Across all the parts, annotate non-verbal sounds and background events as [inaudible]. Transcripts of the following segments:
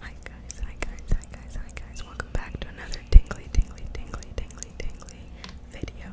Hi guys, hi guys, hi guys, hi guys. Welcome back to another tingly, tingly, tingly, tingly, tingly video.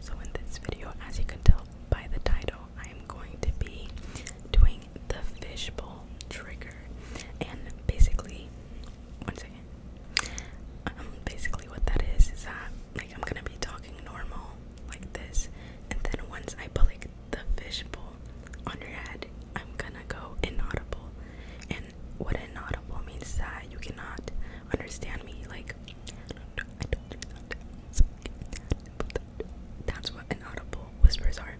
So in this video, as you can tell by the title, I am going to be doing the fishbowl trigger. And basically, one second. Um, basically what that is is that like I'm gonna be talking normal like this, and then once I pull like the fishbowl on your head, I'm gonna go inaudible. And what inaudible means is that you cannot understand me. Like, that's what inaudible whispers are.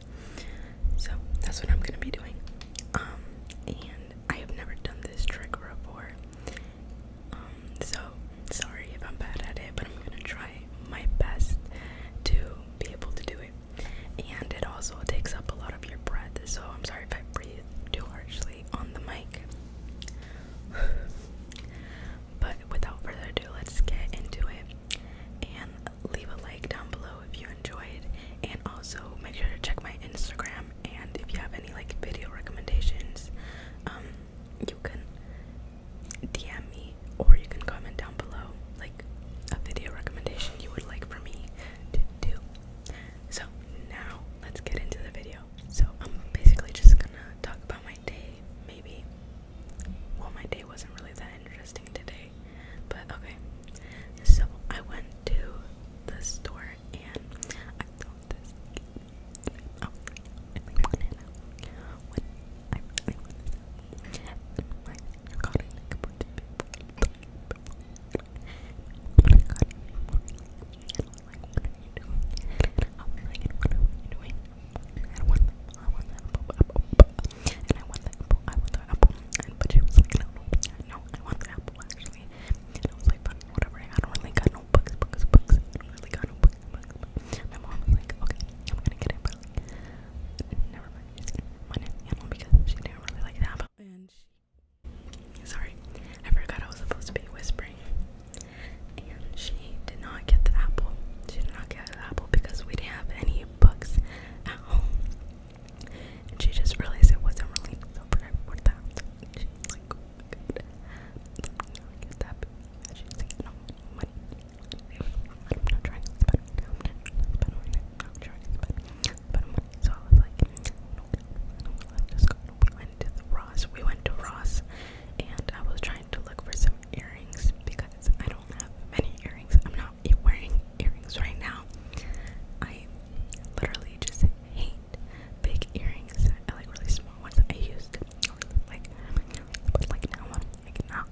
So that's what I'm gonna be doing. Um, and I have never done this trick before. Um, so sorry if I'm bad at it, but I'm gonna try my best to be able to do it and it also takes up a lot of your breath. So I'm sorry if I breathe too harshly on the mic. [sighs] but without further ado, let's get into it. And leave a like down below if you enjoyed, and also make sure to check my Instagram. And if you have any like video recommendations, um, you can DM me or you can comment down below like a video recommendation you would like for me to do. So now let's get into the video. So I'm basically just gonna talk about my day, maybe. Well, my day wasn't really that interesting today, but okay. So I went to the store and I thought this. Oh, I was like, what are I want the apple, I want the apple, I want the apple, I want the no, I want the apple actually. I was like, whatever, I don't really got no bucks, bucks, bucks. I don't really got no bucks, bucks, bucks. My mom was like, okay, I'm gonna get it, but Never mind. because she did really like that. sorry, I forgot I was supposed to be whispering. And she did not get the apple. She did not get the apple because we didn't have any books at home. And she just realized it wasn't really so forget so I was like, no, no, let's just go. We went to the Ross. We went to Ross, and I was trying to look for some earrings because I don't have many earrings. I'm not wearing earrings right now. I literally just hate big earrings. I like really small ones. I used like but like now I'm like now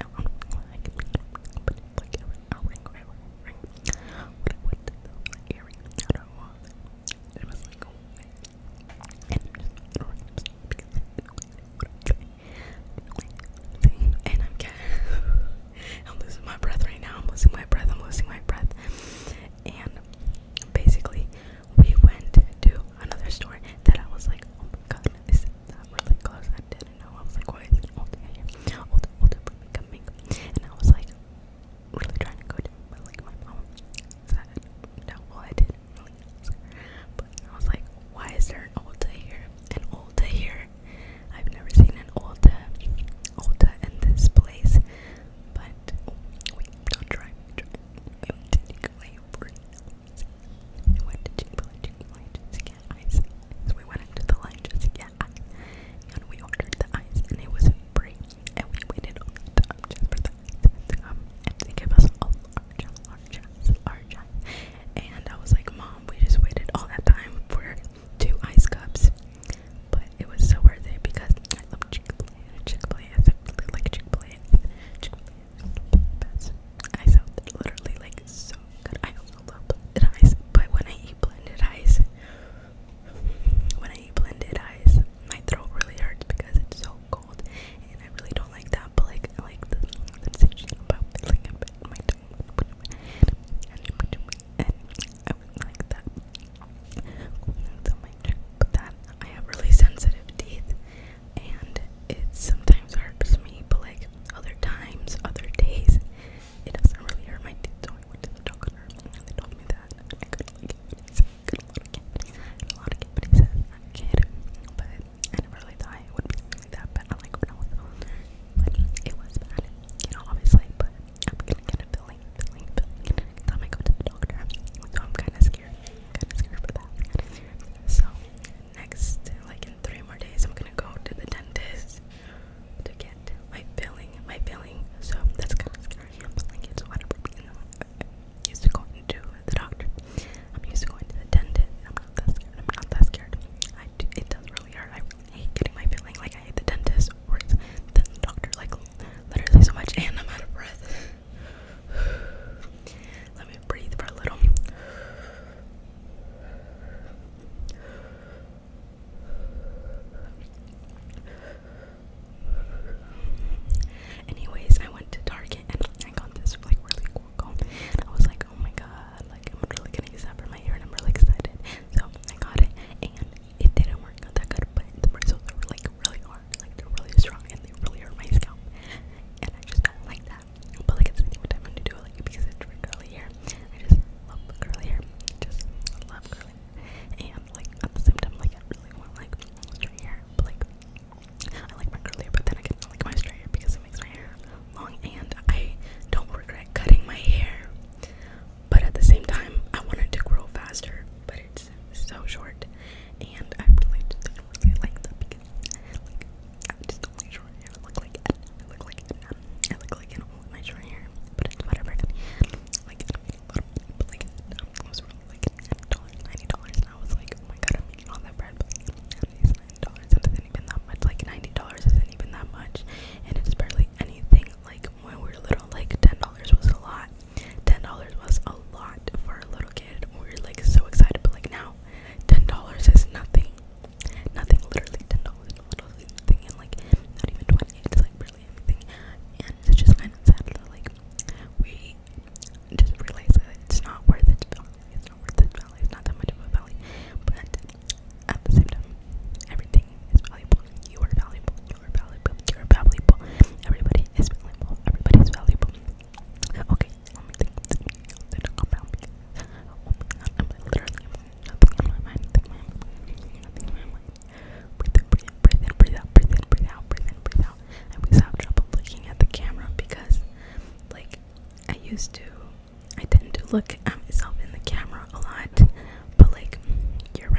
now I'm like but like a ring a ring a ring what I wanted though like earring that I want it was like a way and just throwing it because what I'm trying like thing and I'm getting I'm losing my breath right now I'm losing my breath I'm losing my breath and basically we went to another store that I was like, oh my god, this is not really close? I didn't know. I was like, why is an all day here? And I was like, really trying to go down, but like my mom said, no, I didn't really But I was like, why is there an Ulta here? An Ulta here? I've never seen an Ulta, Ulta in this place. But, we wait, don't try I'm taking away your We went to Chick-fil-A just to So we went into the line just And we ordered the ice and it was free. And we waited all the time for the ice And they gave us a large, large, large ice. And I was like, Mom, we just waited all that time for two ice cups. But it was so worth it because I loved chick Chick-fil-A, Chick-fil-A, I really like Chick-fil-A, Chick-fil-A best. Ice out literally like so good. I also love blended ice, but when I eat blended ice, when I eat blended ice, my throat really hurts because it's so cold, and I really don't like that. But like, I like the sensation about feeling a bit my tongue, and I would like that. So my check, but that I have really sensitive teeth, and it's sometimes hurts me, but like other times, other days, it doesn't really hurt my teeth. So I went to the doctor, and they told me that I got like cavities, got a lot of cavities, a lot of cavities as a kid, but I never really thought it would be like that bad, like when I was older, but it was bad, you know, obviously, but I'm gonna get a filling, filling, filling, time I go to the doctor, so I'm kind of scared kind of scared about that. Kind of scared. So next, like in three more days, I'm gonna go to the dentist to get my filling. My filling. So that's kind of scary. But like it's whatever. You know, I'm uh, used to going to the doctor. I'm used to going to the dentist. I'm not that scared. I'm not that scared. I do, it does really hurt. I really hate getting my filling. Like I hate the dentist or the doctor. Like literally so much, and I'm out of breath. Let me breathe for a little. Anyways, I went to Target and I got this like really cool comb. I was like, oh my god, like I'm really gonna use that for my hair I'm really excited. So I got it and it didn't work out that good, but the bristles were like really hard, like really strong and they really hurt my scalp. And I just don't like that. But like it's the what i do like because it's curly hair. I just love curly hair. Just love curly And like at the same time like I really want like straight hair. But like I like my curly hair but then I can like my straight hair because it makes my hair long and I don't regret cutting my hair. But at the same time I wanted to grow faster but it's so short, and I really just really like that because, like, I just don't like short hair. I look like I look like um, I look like an old with short hair, but whatever. Like, but like, um, was like ninety dollars, and I was like, oh my god, I'm eating all that bread, but ninety dollars. That not even that much. Like, ninety dollars isn't even that much, and it's barely anything. Like when we were little, like ten dollars was a lot ten dollars was a lot for a little kid. We were like so excited, but like now, ten dollars is nothing. Nothing, literally ten dollars, literally nothing, and like not even twenty. It's like barely anything, and it's just kind of sad that like we just realize that it's not worth its value. It's not worth its value. It's not that much of a value, but at the same time, everything is valuable. You are valuable. You are valuable. You are valuable. Everybody is valuable. Everybody is valuable. Okay, nothing oh in my mind. Nothing in my mind. Nothing in my mind. Breathe in, breathe in, breathe in, breathe out, breathe in, breathe out, breathe in, breathe out. I always have trouble looking at the camera because, like, I used to. I tend to look at myself in the camera a lot, but like, you're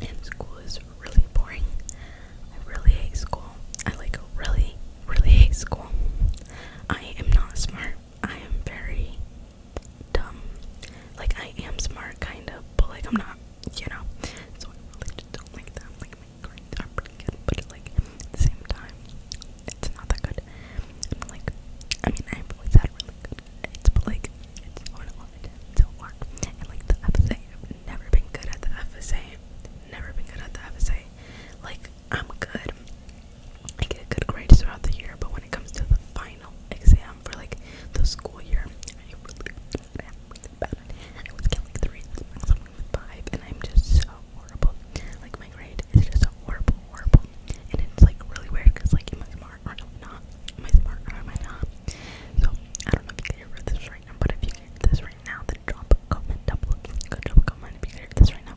and school is really boring. I really hate school. I like really, really hate school. I am not smart. I am very dumb. Like I am smart kind of, but like I'm not, you know. So I really just don't like them. Like my grades are pretty good, but like at the same time, it's not that good. I'm like I mean I've always had really good it's like it's hard to work. And like the FSA, I've never been good at the FSA. Never been good at the FSA. Like I'm good. I get good grades throughout the year, but when it comes to the final exam for like the school year, I really bad. I always get like three, something with five, and I'm just so horrible. Like my grade is just so horrible, horrible, and it's like really weird because like in my small smart or am I not? Am I smart or am I not? So I don't know if you can hear this right now, but if you can hear this right now, then drop a comment down below. Go drop a comment if you can hear this right now.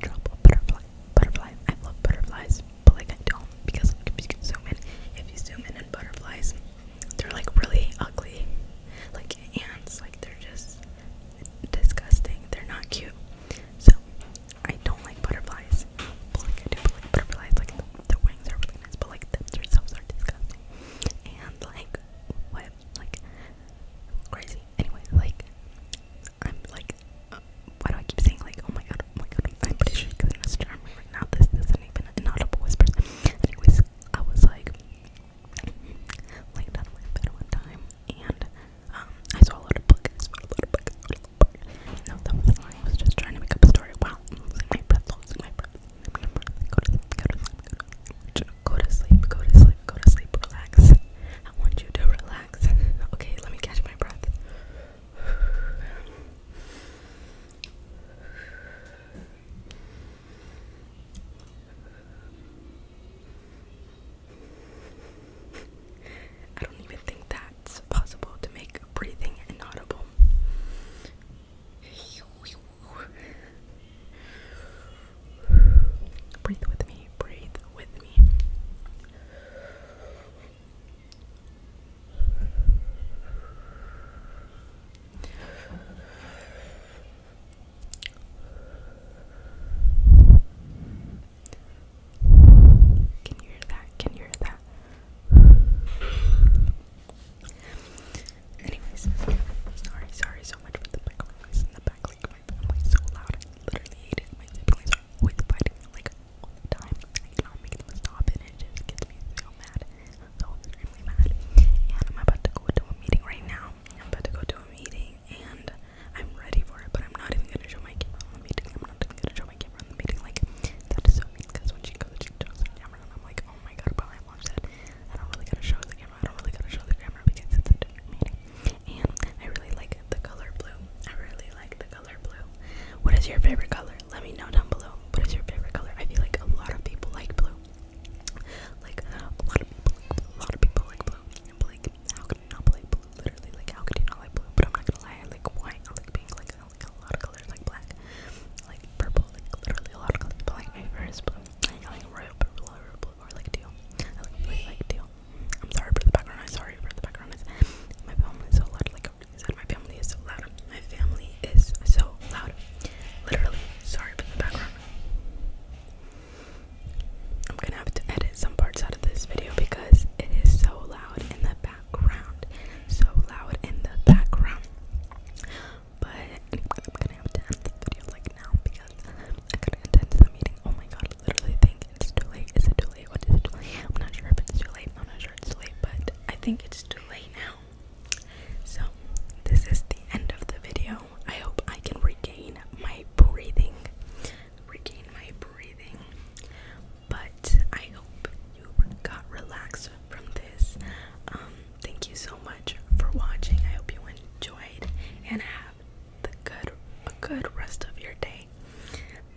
Drop a butterfly. Butterfly. I love butterflies, but like I don't because you can zoom in. If you zoom in on butterflies, they're like really ugly. Like ants, like they're just disgusting. They're not cute. So I don't like butterflies nice. But like I do believe butterflies, like the, the wings are really nice, but like them themselves are disgusting. And like what? Like crazy. Anyway, like I'm like uh, why do I keep saying like oh my god, oh my god, I'm pretty sure because I'm just right now this isn't even an audible whisper. Anyways, I was like laid down on my bed one time and um I swallowed a book, I swallowed a book, I swallowed a book no, that was I just trying to make up a story. Wow, I'm losing my breath, losing my Go to go to go to sleep, go to sleep, go to sleep, relax. I want you to relax. Okay, let me catch my breath. I don't even think that it's possible to make breathing inaudible. Breathe with me, breathe with me. Can you hear that? Can you hear that? Anyways, sorry, sorry so much for the background noise in the back. Like my family's so loud, I literally hate it. My siblings are fighting like all the time. I cannot make them stop, and it just gets me so mad, so extremely mad. And I'm about to go to a meeting right now. I'm about to go to a meeting, and I'm ready for it, but I'm not even gonna show my camera meeting. I'm not even gonna show camera in the meeting. Like, that is so mean because when she goes, she shows her camera, and I'm like, oh my god, but I watched that. I don't really gotta show the camera. I don't really gotta show the camera because it's a meeting. And I really like the color blue. I really like the color blue. What is your favorite color? Let me know down below. What is your favorite color? I feel like a lot of people like blue. Like a lot of people, like, a lot of people like blue. And like, how could you not like blue? Literally, like, how could you not like blue? But I'm not gonna lie, I like white. I like pink. Like, like, a lot of colors, like black, like purple, like literally a lot of colors. But blue. like royal purple, royal blue, or teal. I teal. I'm sorry for the background. i sorry for the background. It's, my family is so loud. Like my family is so loud. My family is so loud. Literally, sorry for the background. I'm gonna have to edit some parts out of this video because it is so loud in the background background. So loud in the background. But I'm gonna have to end this video like now because I couldn't attend to the meeting. Oh my god, I literally think it's too late. Is it too late? What is it I'm not sure if it's too late. I'm not sure it's too late, but I think it's too late now. So this is the end of the video. I hope I can regain my breathing regain my breathing. But I hope you got relaxed from this. Um, thank you so much for watching. I hope you enjoyed and have the good a good rest of your day.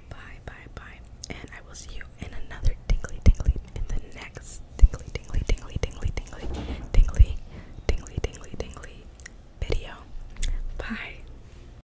Bye bye bye. And I will see you in another tingly tingly in the next tingly tingly tingly tingly tingly tingly tingly tingly tingly video. Bye.